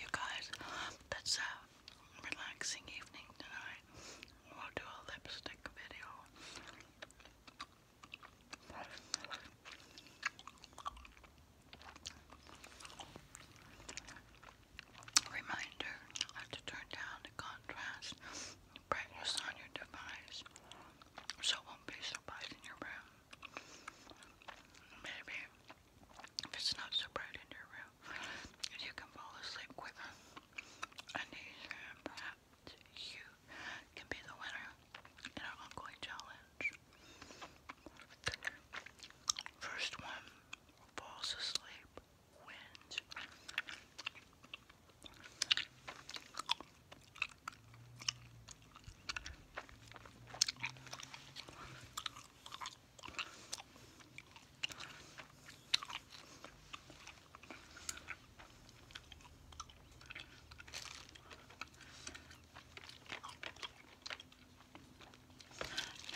You guys, that's a relaxing evening tonight. We'll do a lipstick video. Reminder to turn down the contrast brightness on your device so it won't be so bright in your room. Maybe if it's not so bright in your room, you can fall asleep quicker. And perhaps you can be the winner in our ongoing challenge. First one falls asleep wins.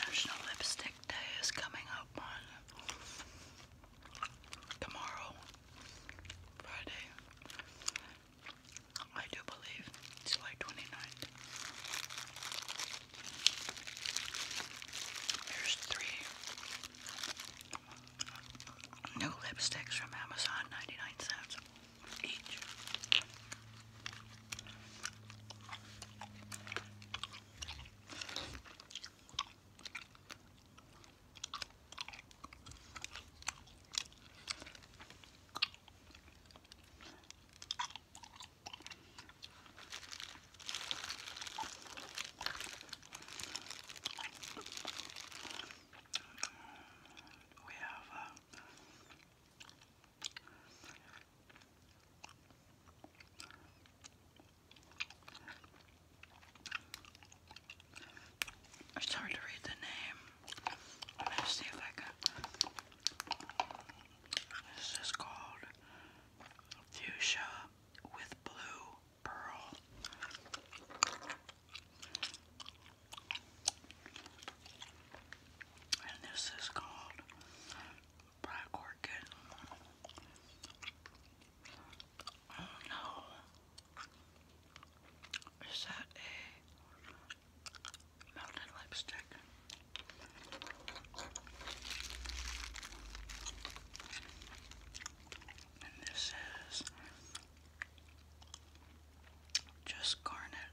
National Lipstick Day is coming up on tomorrow, Friday. I do believe July 29th. Here's three new lipsticks from Amazon, 99 cents each. We have uh, it's hard to read the name. Let's see if I can. This is called Fuchsia with Blue Pearl. And this is called Black Orchid. Oh no. Is that a melted lipstick? And this is just garnet.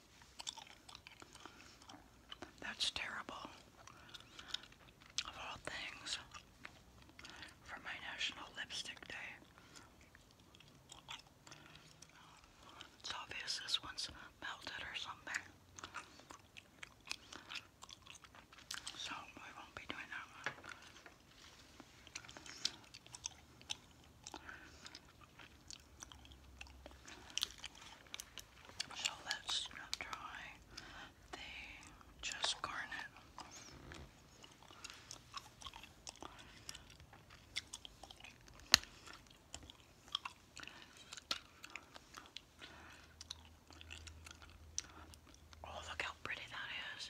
That's terrible. Of all things, for my National Lipstick Day. It's obvious this one's melted or something. So we won't be doing that so let's try the just garnet. Oh, look how pretty that is.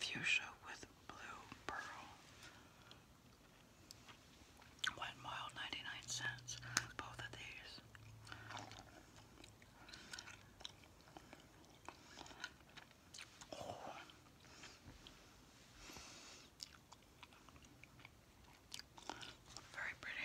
fuchsia with blue pearl. One mile, 99 cents. Both of these. Very pretty.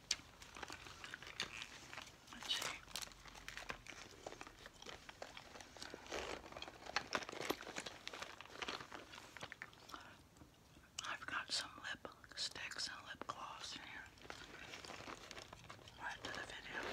Let's see. I've got some lip and lip gloss here. Right the video.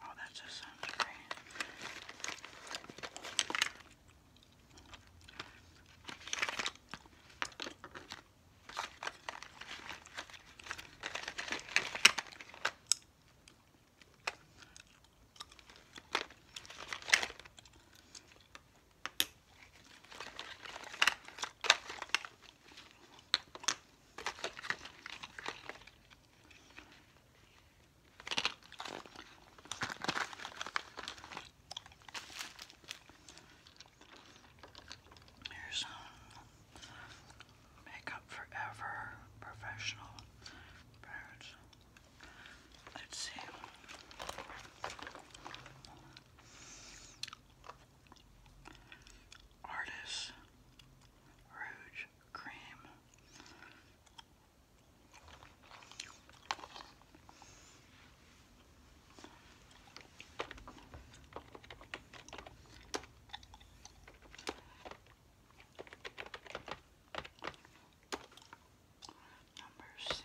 Oh, that just sounds great. Here's Makeup Forever Professional Let's see. Artist Rouge Cream. Number C.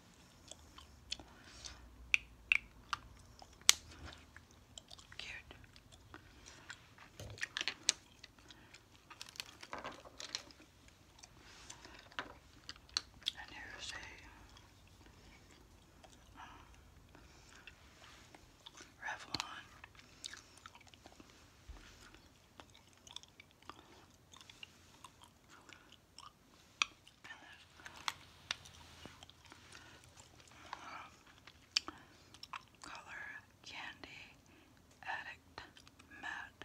Cute. And here's a uh, Revlon uh, color Candy Addict Matte.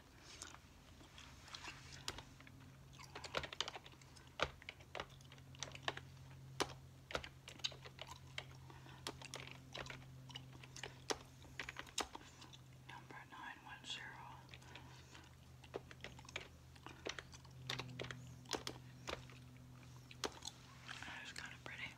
Number nine one zero that is kind of pretty.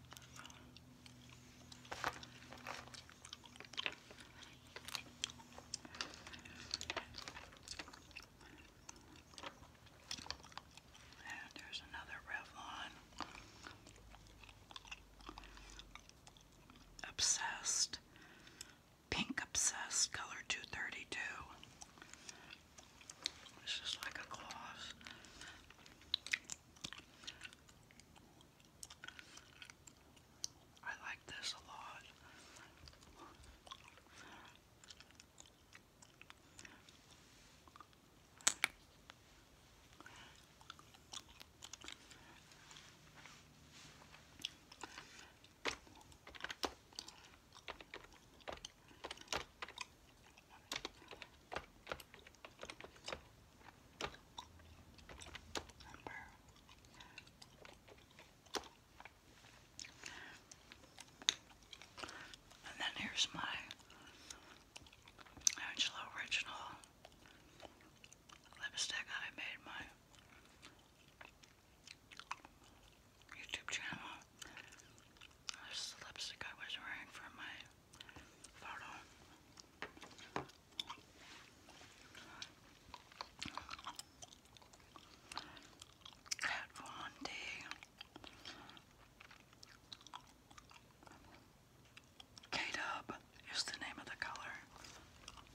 And there's another Revlon. Obsessed Pink Obsessed color 232. This is like a gloss. I like this a lot. Remember, and then here's my Angela original lipstick I made my YouTube channel. This lipstick I was wearing for my photo. Kat Von D. K-Dub is the name of the color.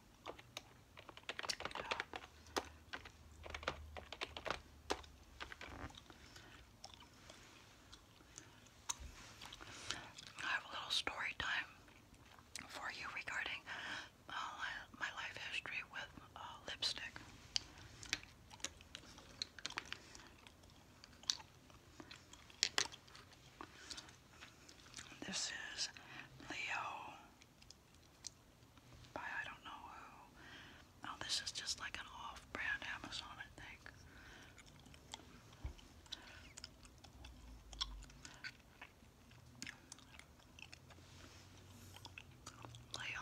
I have a little story time for you regarding uh, my life history with uh, lipstick. This is Leo by I don't know who. Oh, this is just like an off-brand Amazon, I think. Leo.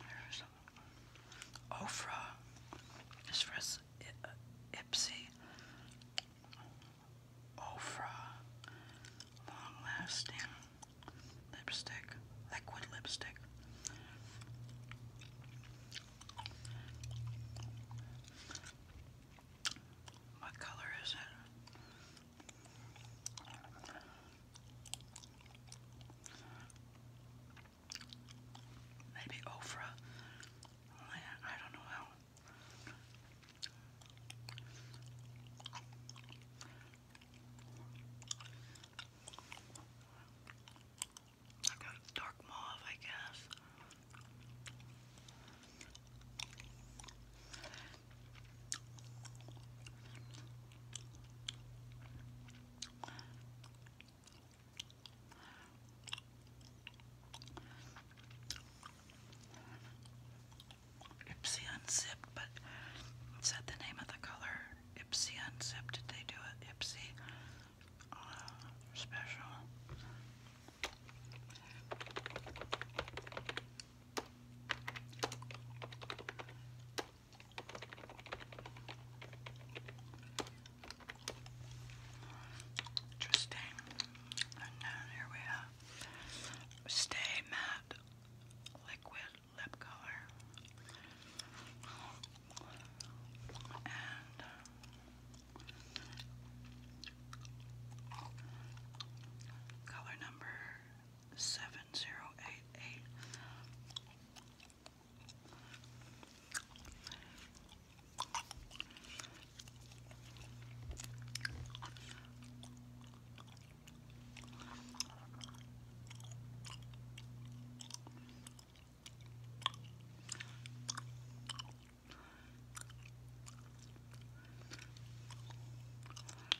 There's Ofra. This for uh, Ipsy. Ofra. Long lasting lipstick. Liquid lipstick. What color is it? Maybe Ofra. I don't know how. I got dark mauve, I guess. Ipsy Unzipped, but it said the name of the color. Ipsy Unzipped. Did they do it? Ipsy uh, Special. Interesting. And then here we have Stay Matte Liquid Lip Color. And uh, color number seven zero eight eight.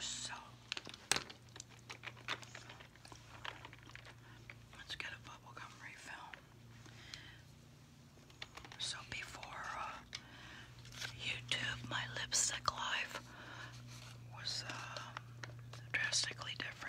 So let's get a bubblegum refill. So before uh, YouTube, my lipstick life was uh, drastically different.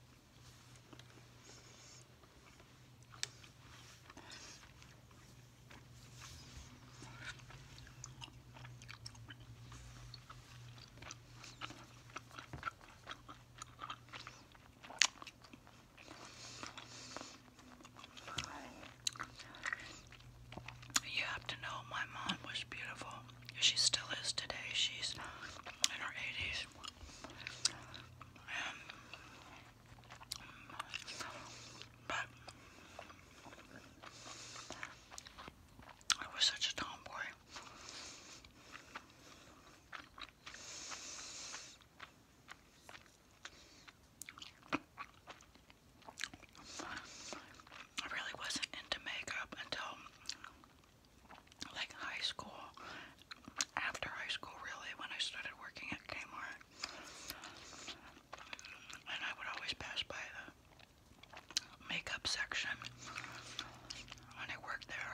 You have to know my mom was beautiful. She still is today. She's in her 80s. Um, but I was such a tomboy. I really wasn't into makeup until like high school, after high school really, when I started working at Kmart. And I would always pass by the makeup section when I worked there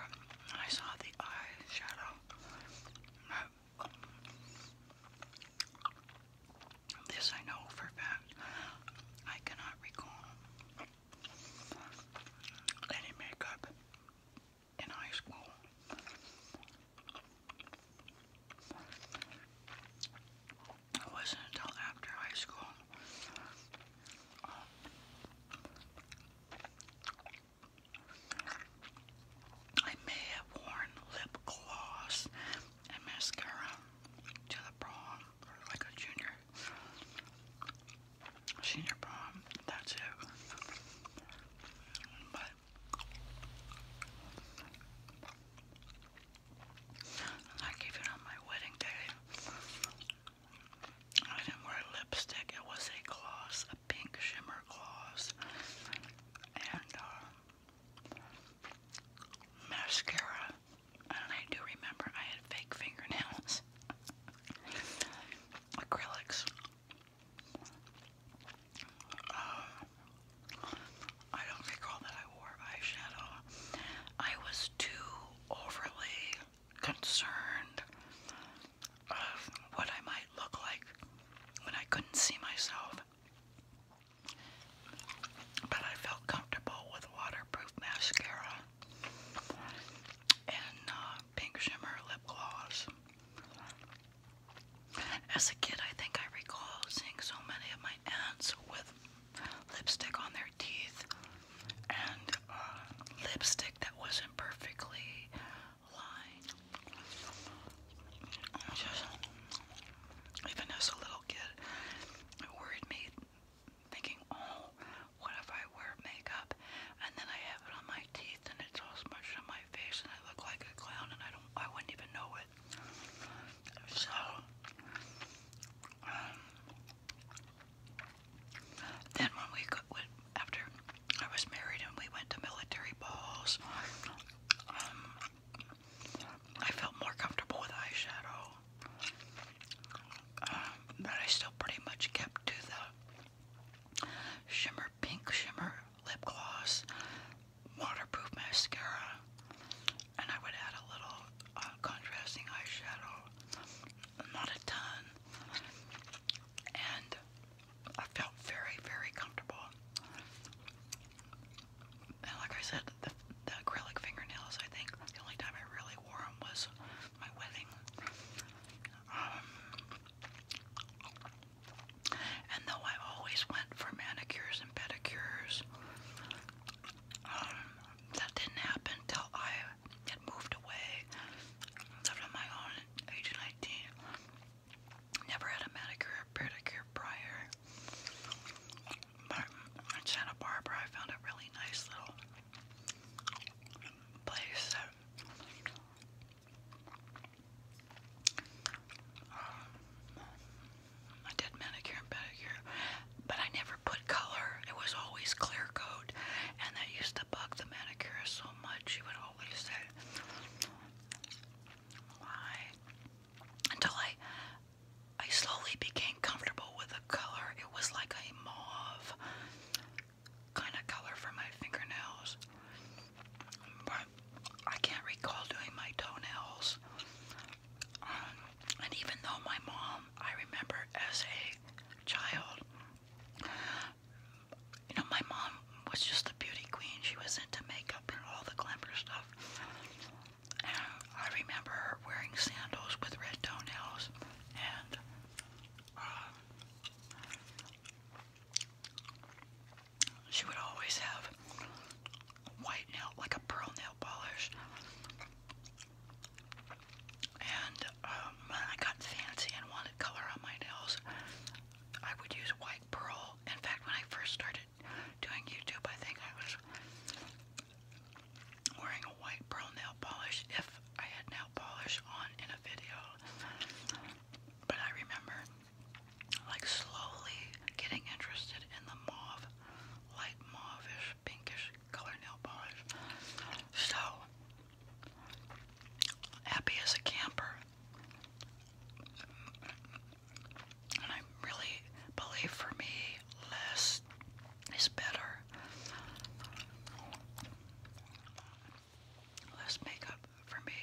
and I saw the eyeshadow. This I know for fact. I cannot recall any makeup in high school. It wasn't until after high school. I may have worn lip gloss and mascara to the prom, like a junior senior prom, that's it. But like even on my wedding day, I didn't wear lipstick. It was a gloss, a pink shimmer gloss, and uh, mascara. And I do remember I had fake fingernails. Acrylics. Um, I don't recall that I wore eyeshadow. I was too overly concerned of what I might look like when I couldn't see myself. But I felt comfortable with waterproof mascara and uh, pink shimmer lip gloss. As a kid, I think I recall seeing so many of my aunts with lipstick on their teeth and uh, lipstick that wasn't perfectly lined. even as a little kid, it worried me thinking, oh, what if I wear makeup and then I have it on my teeth and it's all smushed on my face and I look like a clown and I don't, I wouldn't even know it. So, um, then when we got, after I was married and we went to military balls, um, I felt more comfortable with eyeshadow. Um, but I still pretty much kept to the shimmer pink shimmer lip gloss, waterproof mascara, and I would add a little uh, contrasting eyeshadow, not a ton, and I felt very, very comfortable. And like I said, the acrylic fingernails, I think. The only time I really wore them was my wedding. Um, and though I always went for manicures and pedicures, um, that didn't happen till I had moved away, lived on my own at age 19. Never had a manicure or pedicure prior in Santa Barbara, I found a really nice little place that um, I did manicure and pedicure, but I never put color. It was always clear coat, and that used to bug the manicurist so much. She would always say, "Why?" Until I I slowly became comfortable with the color. It was like a mauve kind of color for my fingernails. But I can't recall doing my toenails. Um, and even though my mom, I remember as a child, you know, my mom was just a beauty queen. She was into makeup and all the glamour stuff. I remember her wearing sandals with red toenails and uh, she would always have white nail, like a pearl nail polish. And um, when I got fancy and wanted color on my nails, I would use white pearl. In fact, when I first started doing YouTube, I think I was wearing a white pearl nail polish if I had nail polish on in a video. But I remember like slowly getting interested in the mauve, light mauve pinkish color nail polish. So happy as a camper and I really believe for me, less is better. Less makeup for me,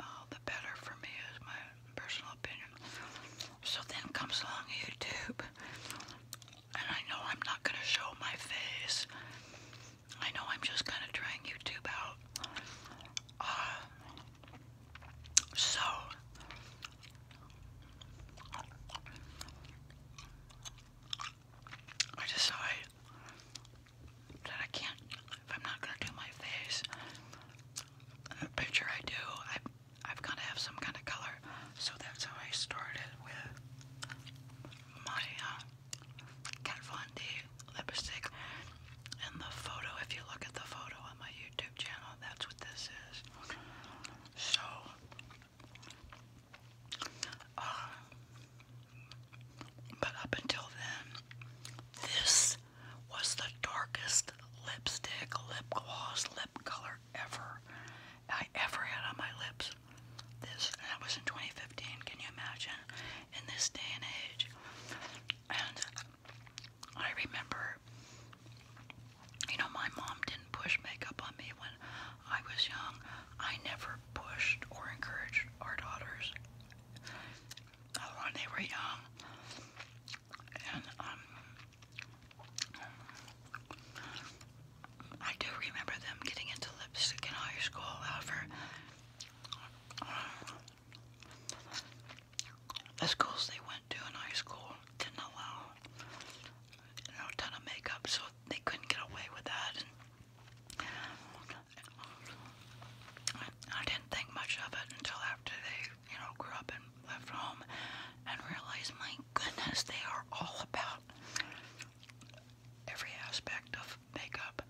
uh, the better for me is my personal opinion. So then comes along YouTube, and I know I'm not going to show my face. I know I'm just kind of trying YouTube out. Uh, so, I decide that I can't, if I'm not gonna do my face, picture I do, I, have gotta have some kind of color. So that's how I started with my uh, Kat Von D lipstick. And the photo, if you look at the photo on my YouTube channel, that's what this is. So, uh, but up until then, this was the darkest lipstick, lip gloss, lip color ever I ever had on my lips. This and that was in 2015. Can you imagine? In this day and age, and I remember you know, my mom didn't push makeup on me when I was young. I never pushed or encouraged our daughters uh, when they were young. And, um, I do remember them getting into lipstick in high school, however, uh, the schools they went to in high school didn't allow you know, a ton of makeup, so they couldn't get away with that. And I didn't think much of it until after they, you know, grew up and left home and realized, my goodness, they are all about every aspect of makeup,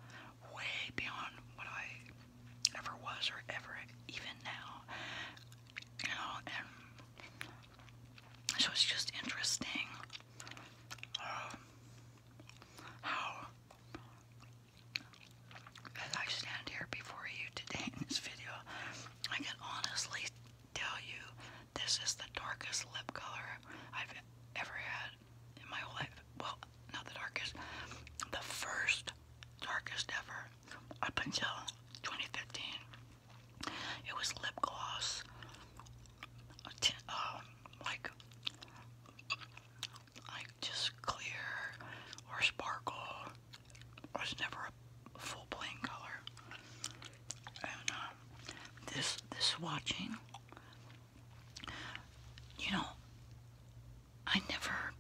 way beyond what I ever was or ever even now you know, and so it's just interesting um, how, as I stand here before you today in this video, I can honestly tell you this is the darkest lip color I've ever had in my whole life. Well, not the darkest, the first darkest ever up until 2015. It was lip gloss, um, like like just clear or sparkle. It was never a full plain color. And um, this this swatching, you know, I never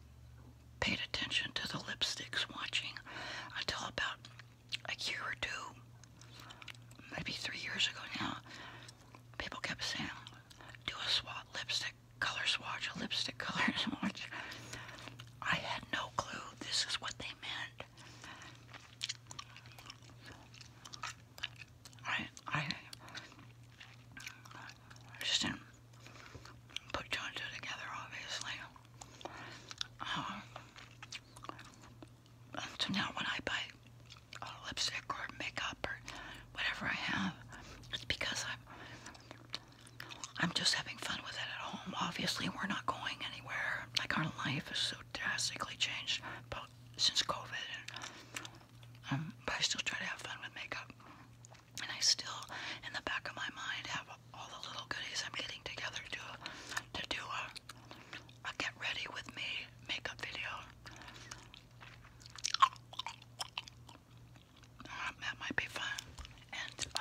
paid attention to the lipsticks watching until about a year or two, maybe three years ago now. People kept saying, do a swat lipstick color swatch, a lipstick color swatch. I had no clue this is what they meant. I, I just didn't put two and together, obviously. Um, so now when I buy a lipstick or makeup or whatever I have, it's because I'm I'm just having fun with it at home. Obviously, we're not going anywhere. Like our life is so drastically changed, since COVID, um, but I still try to have fun with makeup. And I still, in the back of my mind, have all the little goodies I'm getting together to to do a, a get ready with me makeup video. Uh, that might be fun. Uh,